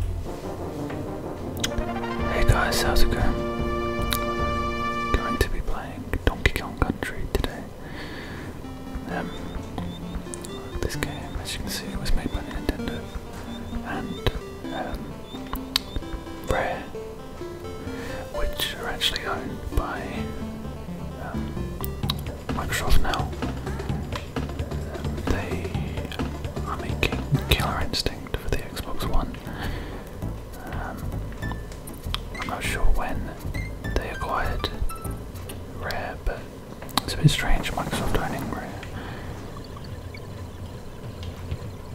Hey guys, how's it going? Going to be playing Donkey Kong Country today. Um, this game, as you can see, was made by Nintendo and um, Rare, which are actually owned by um, Microsoft now. They are making Killer Instinct for the Xbox One. Um, I'm not sure when they acquired Rare, but it's a bit strange Microsoft owning Rare.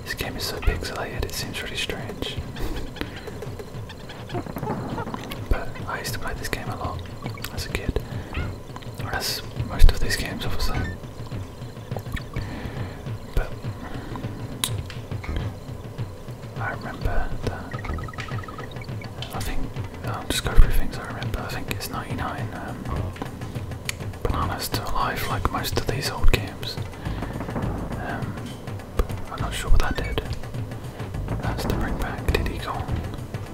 This game is so pixelated, it seems really strange. but I used to play this game a lot as a kid. Or as most of these games, obviously. But I remember I think uh, just go through things I remember. I think it's 99 um, bananas to alive, like most of these old games. Um, I'm not sure what that did. That's the bring back Diddy Kong. Uh,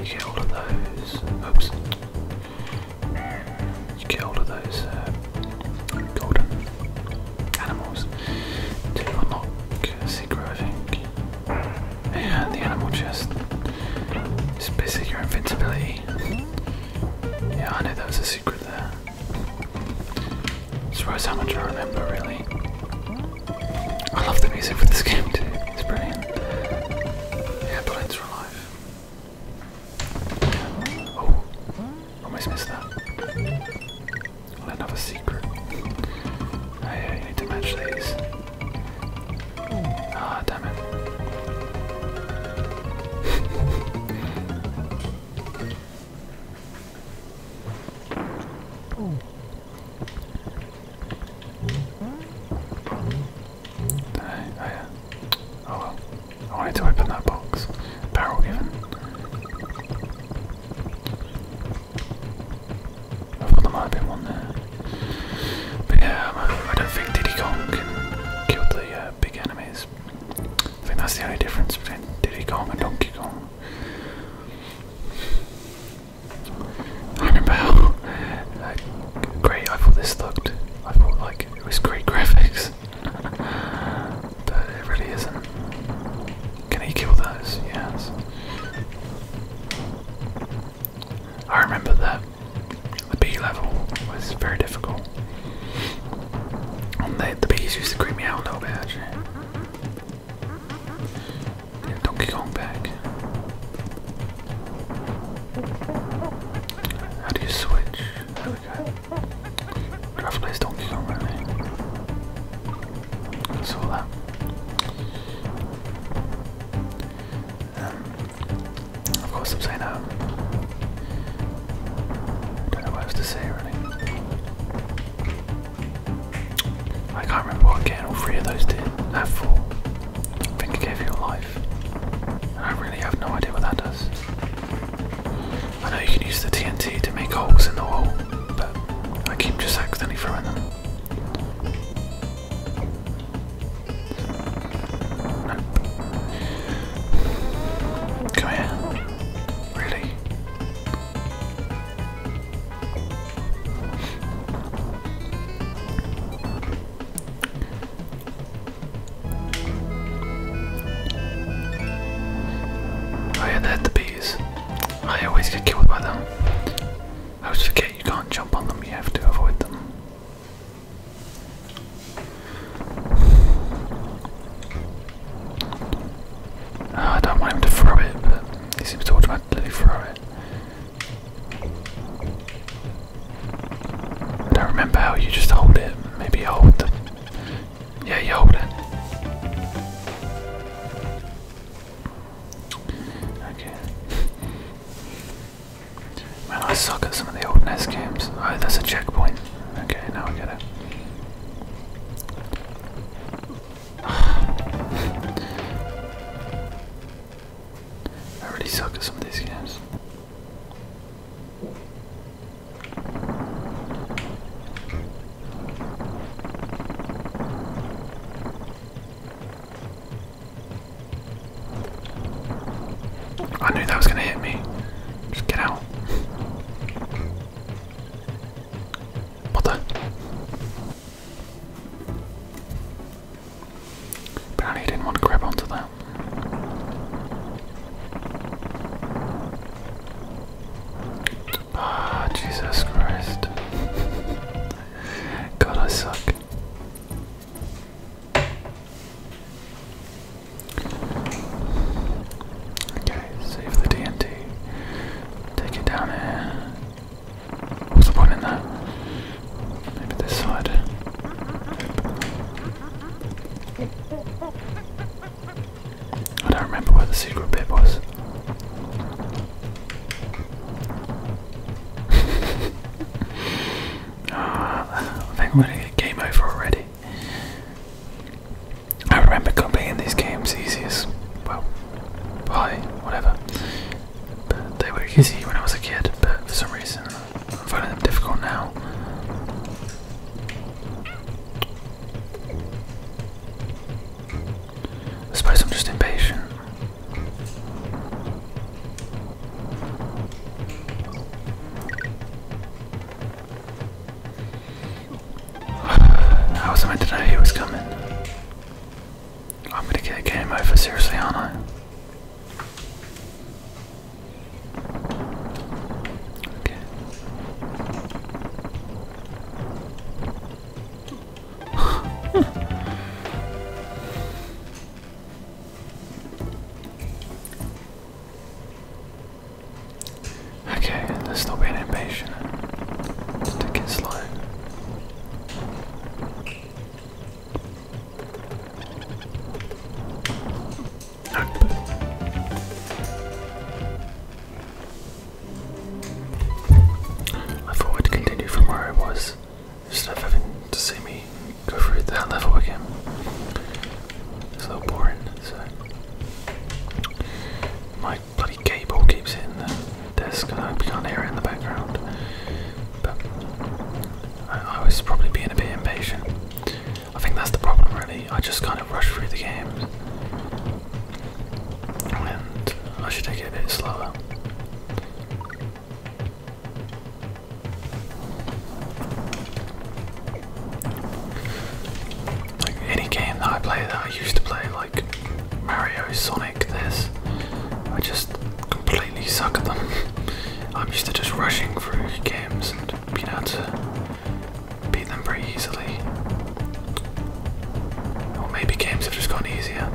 you get all of those. Oops. You get all of those uh, golden animals to unlock Secret, I And the animal chest is your invincibility. Yeah, I know that was a secret there. Surprised how much I remember, really. I love the music for this game too, it's brilliant. Yeah, bullets are alive. Oh, almost missed that. Well, another secret. Oh yeah, you need to match these. Ah, damn it. I, I, oh well. I wanted to open that box. Barrel even. I thought there might have one there. But yeah, um, I, don't think Diddy Kong can the uh, big enemies. I think that's the only difference between Diddy Kong and Donkey Kong. I remember how great I thought this looked. I thought like it was great graphics, but it really isn't. Can he kill those? Yes. I remember that the B level was very difficult. the, the bees used to creep me out a little bit you know, Donkey Kong back. How do you switch? There we go. Draft plays Donkey Kong right saw that. Um, of course I'm saying that. Um, I don't know what else to say really. I can't remember what getting all three of those did. That four. I think it gave your life. I really have no idea what that does. I know you can use the TNT to make holes in the wall, but I keep just accidentally throwing them. Come here. Really? Oh yeah, they the bees. I always get killed by them. I always forget you can't jump on them, you have to avoid them. Ah, I don't want him to throw it, but he seems to automatically throw it. I don't remember how you just hold it. Maybe hold the. Yeah, you hold it. Okay. Man, I suck at some of the old NES games. Oh, that's a checkpoint. Okay, now I get it. I really suck at some of these games. I knew that was gonna hit me. Just get out. What the? Apparently, he didn't want to grab onto that. Ah, Jesus Christ. God, I suck. Okay, save the DNT. Take it down here. What's the point in that? Maybe this side. I don't remember where the secret bit was. Ah, I think I'm gonna get game over already. I remember completing these games easiest, well, why, whatever. they were easy when I was a kid, but for some reason I'm finding them difficult now. I suppose I'm just impatient. How was I meant to know he was coming? I'm gonna get game over, seriously, aren't I? Okay. okay, let's not be impatient. Let's take it I thought I'd continue from where I was, instead of having to see me go through that level again. It's a little boring, so. My bloody cable keeps hitting the desk. I hope you can't hear it in the background. But I, was probably being a bit impatient. I think that's the problem, really. I just kind of rush through the games, and I should take it a bit slower. Like any game that I play that I used to play, Mario, Sonic, this. I just completely suck at them. I'm used to just rushing through games and being able to beat them pretty easily. Or maybe games have just gone easier.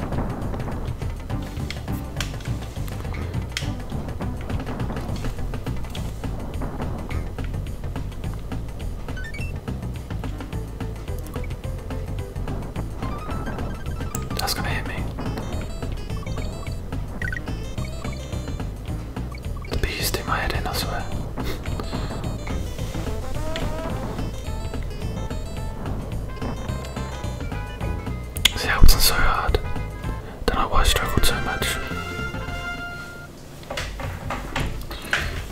That's gonna hit me. The beast do my head in, I swear. Uh, See, that was so hard. Don't know why I struggled so much.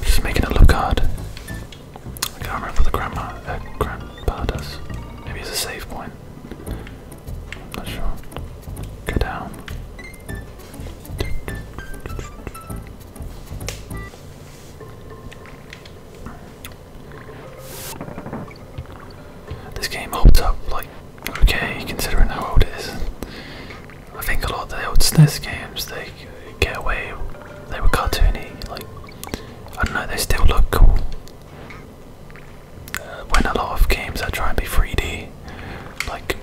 Just making it look hard. I can't remember the grandma, uh, does. Maybe it's a save point. not sure. Go down. This game holds up like okay, considering how old it is. I think a lot of the old SNES games they get away. They were cartoony, like I don't know. They still look cool. Uh, when a lot of games are trying to be 3D, like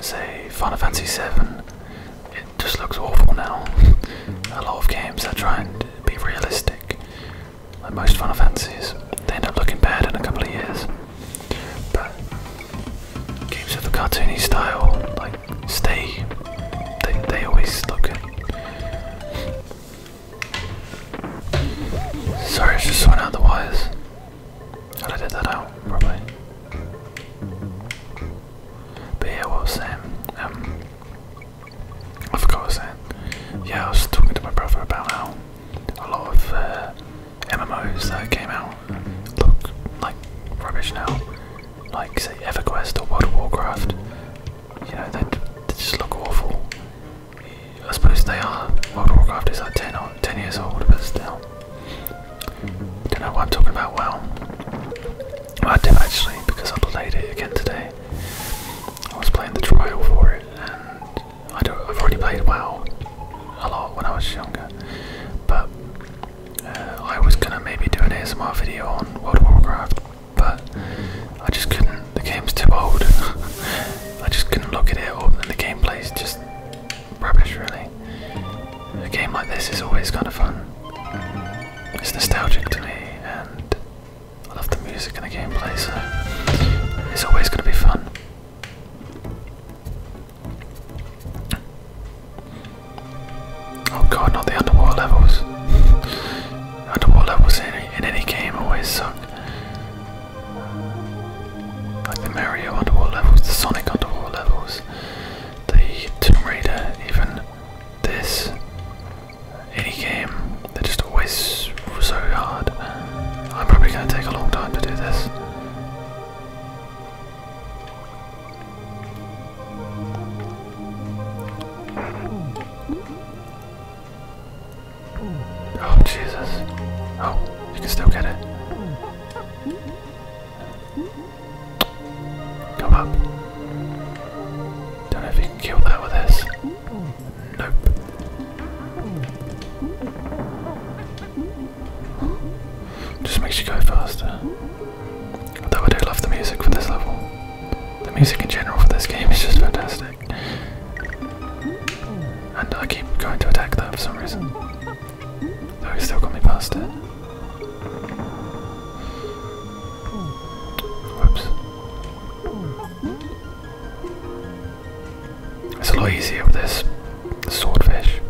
say Final Fantasy VII, it just looks awful now. a lot of games are trying to be realistic, like most Final Fantasies, they end up looking bad in a couple of years. But games of the cartoony style, like stay they they always look at Sorry, I just went out the wires. And I did that out, probably. But yeah, was Um I forgot what was Yeah, I was talking to my brother about how a lot of uh, MMOs that came out look like rubbish now like say EverQuest or World of Warcraft. You know, they, just look awful. I suppose they are. World of Warcraft is like 10, years old, but still. Don't know what I'm talking about well. I do actually, because I played it again today. I was playing the trial for it, and I I've already played WoW a lot when I was younger, but uh, I was gonna maybe do an ASMR video on World of Warcraft, but I just couldn't. The game's too old. I just couldn't look at it, or the gameplay's just rubbish, really. A game like this is always kind of fun. It's nostalgic to me, and I love the music and the gameplay, so it's always gonna be fun. Oh god, not the underwater levels. underwater levels in any, game always suck. Like the Mario underwater levels, the Sonic underwater levels, the Tomb Raider, even this. Any game, they're just always so hard. I'm probably going to take a long time to do this. Oh, Jesus. Oh, you can still get it. Come up. Don't know if you can kill that with this. Nope. Just makes you go faster. Although I do love the music for this level. The music in general for this game is just fantastic. And I keep going to attack that for some reason. Though it still got me past it. Whoops. It's a lot easier with this swordfish.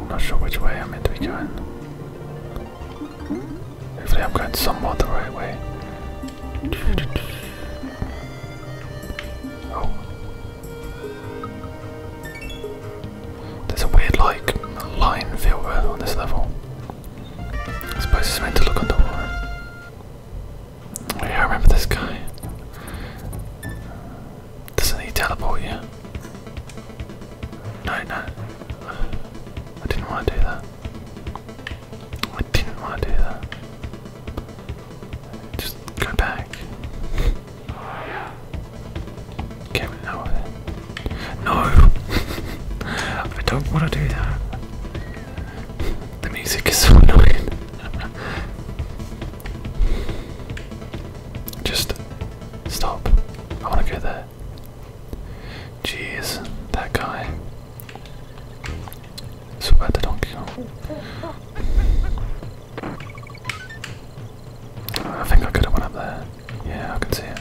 I'm not sure which way I'm meant to be going. Hopefully, I'm going somewhat the right way. Oh. There's a weird, like, line filter on this level. I suppose it's meant to look on the water. I remember this guy. Doesn't he teleport you? No, no. I didn't want to do that. I didn't want to do that. Just go back. Get me No! I don't want to do that. The music is so annoying. Just stop. I want to go there. Jeez, that guy. So bad don't kill. I think I could have went up there. Yeah, I can see it.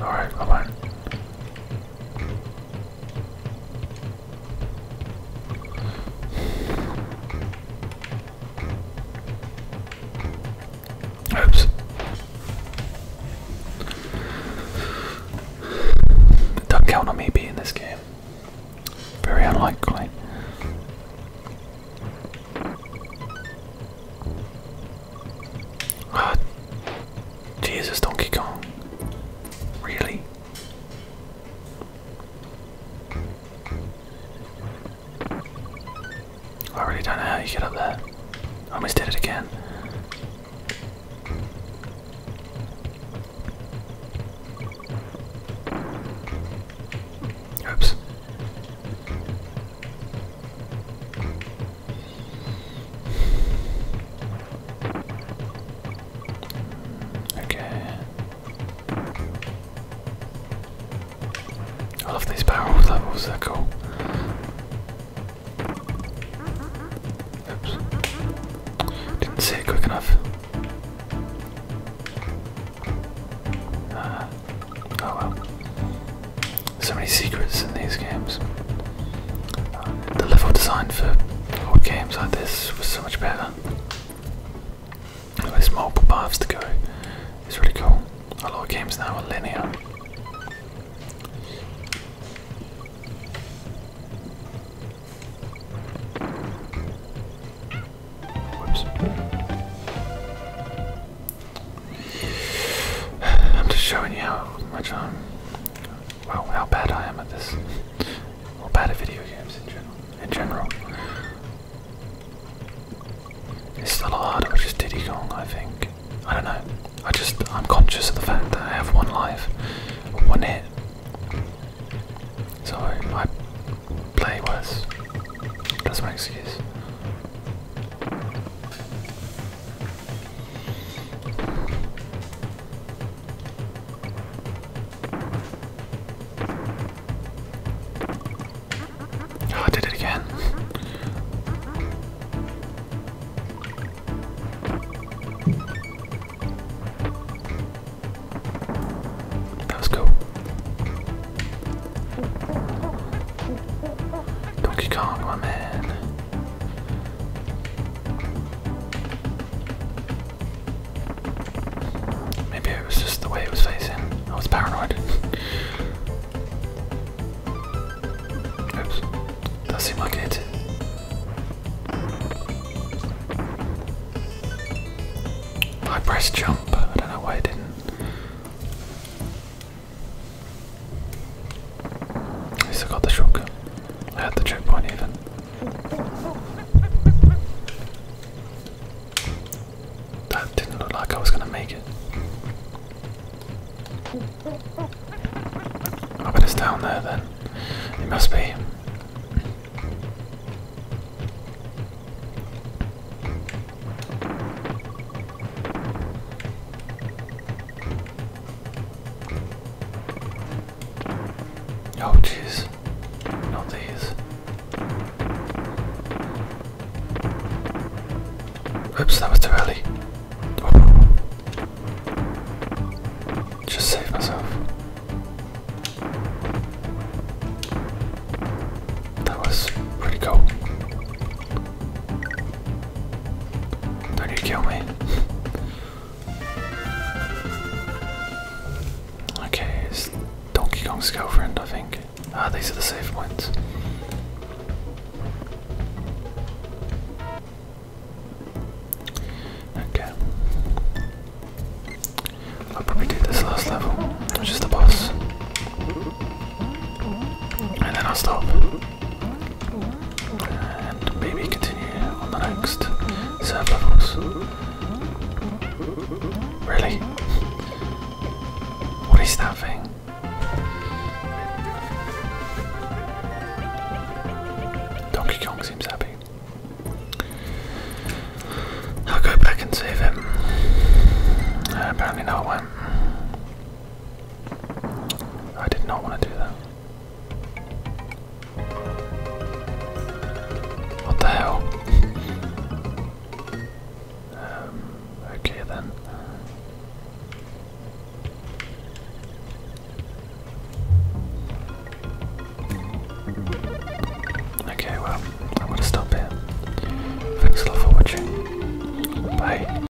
Alright, I won't. Oops. Don't count on me being this game. Very unlikely. God. Ah. Jesus, Donkey Kong. Really? I really don't know how you get up there. almost did it again. Oops. Okay. I love these barrels. levels, they're cool. Oops. Didn't see it quick enough. Uh, oh well so many secrets in these games. the level design for old games like this was so much better. There's multiple paths to go. It's really cool. A lot of games now are linear. I'm just showing you how much I'm Wow, how bad I am at this. How bad at video games in general. In general. It's still hard, which is Diddy Kong, I think. I don't know. I just, I'm conscious of the fact that I have one life, one hit. So I play worse. That's my excuse. Oh, I did it again. That was cool. Donkey Kong, my man. Maybe it was just the way it was facing. I was paranoid. Oops. That seemed like it. I pressed jump. I don't know why I didn't. I still got the shotgun. I had the checkpoint even. That didn't look like I was gonna make it. I bet it's down there then. It must be. Oh, jeez. Not oh, these. Oops, that was too early. Just save myself. That was pretty cool. Don't kill me. okay, it's Donkey Kong's girlfriend, I think. Ah, these are the safe ones. Okay. I'll probably do this last level, which is the boss. And then I'll stop. And maybe continue on the next serve levels. Really? What is that thing? Donkey Kong seems happy. I'll go back and save him. Uh, apparently, not one. I did not want to do that. What the hell? um, okay then. Okay, well, I'm gonna stop here. Thanks a lot for watching. Bye.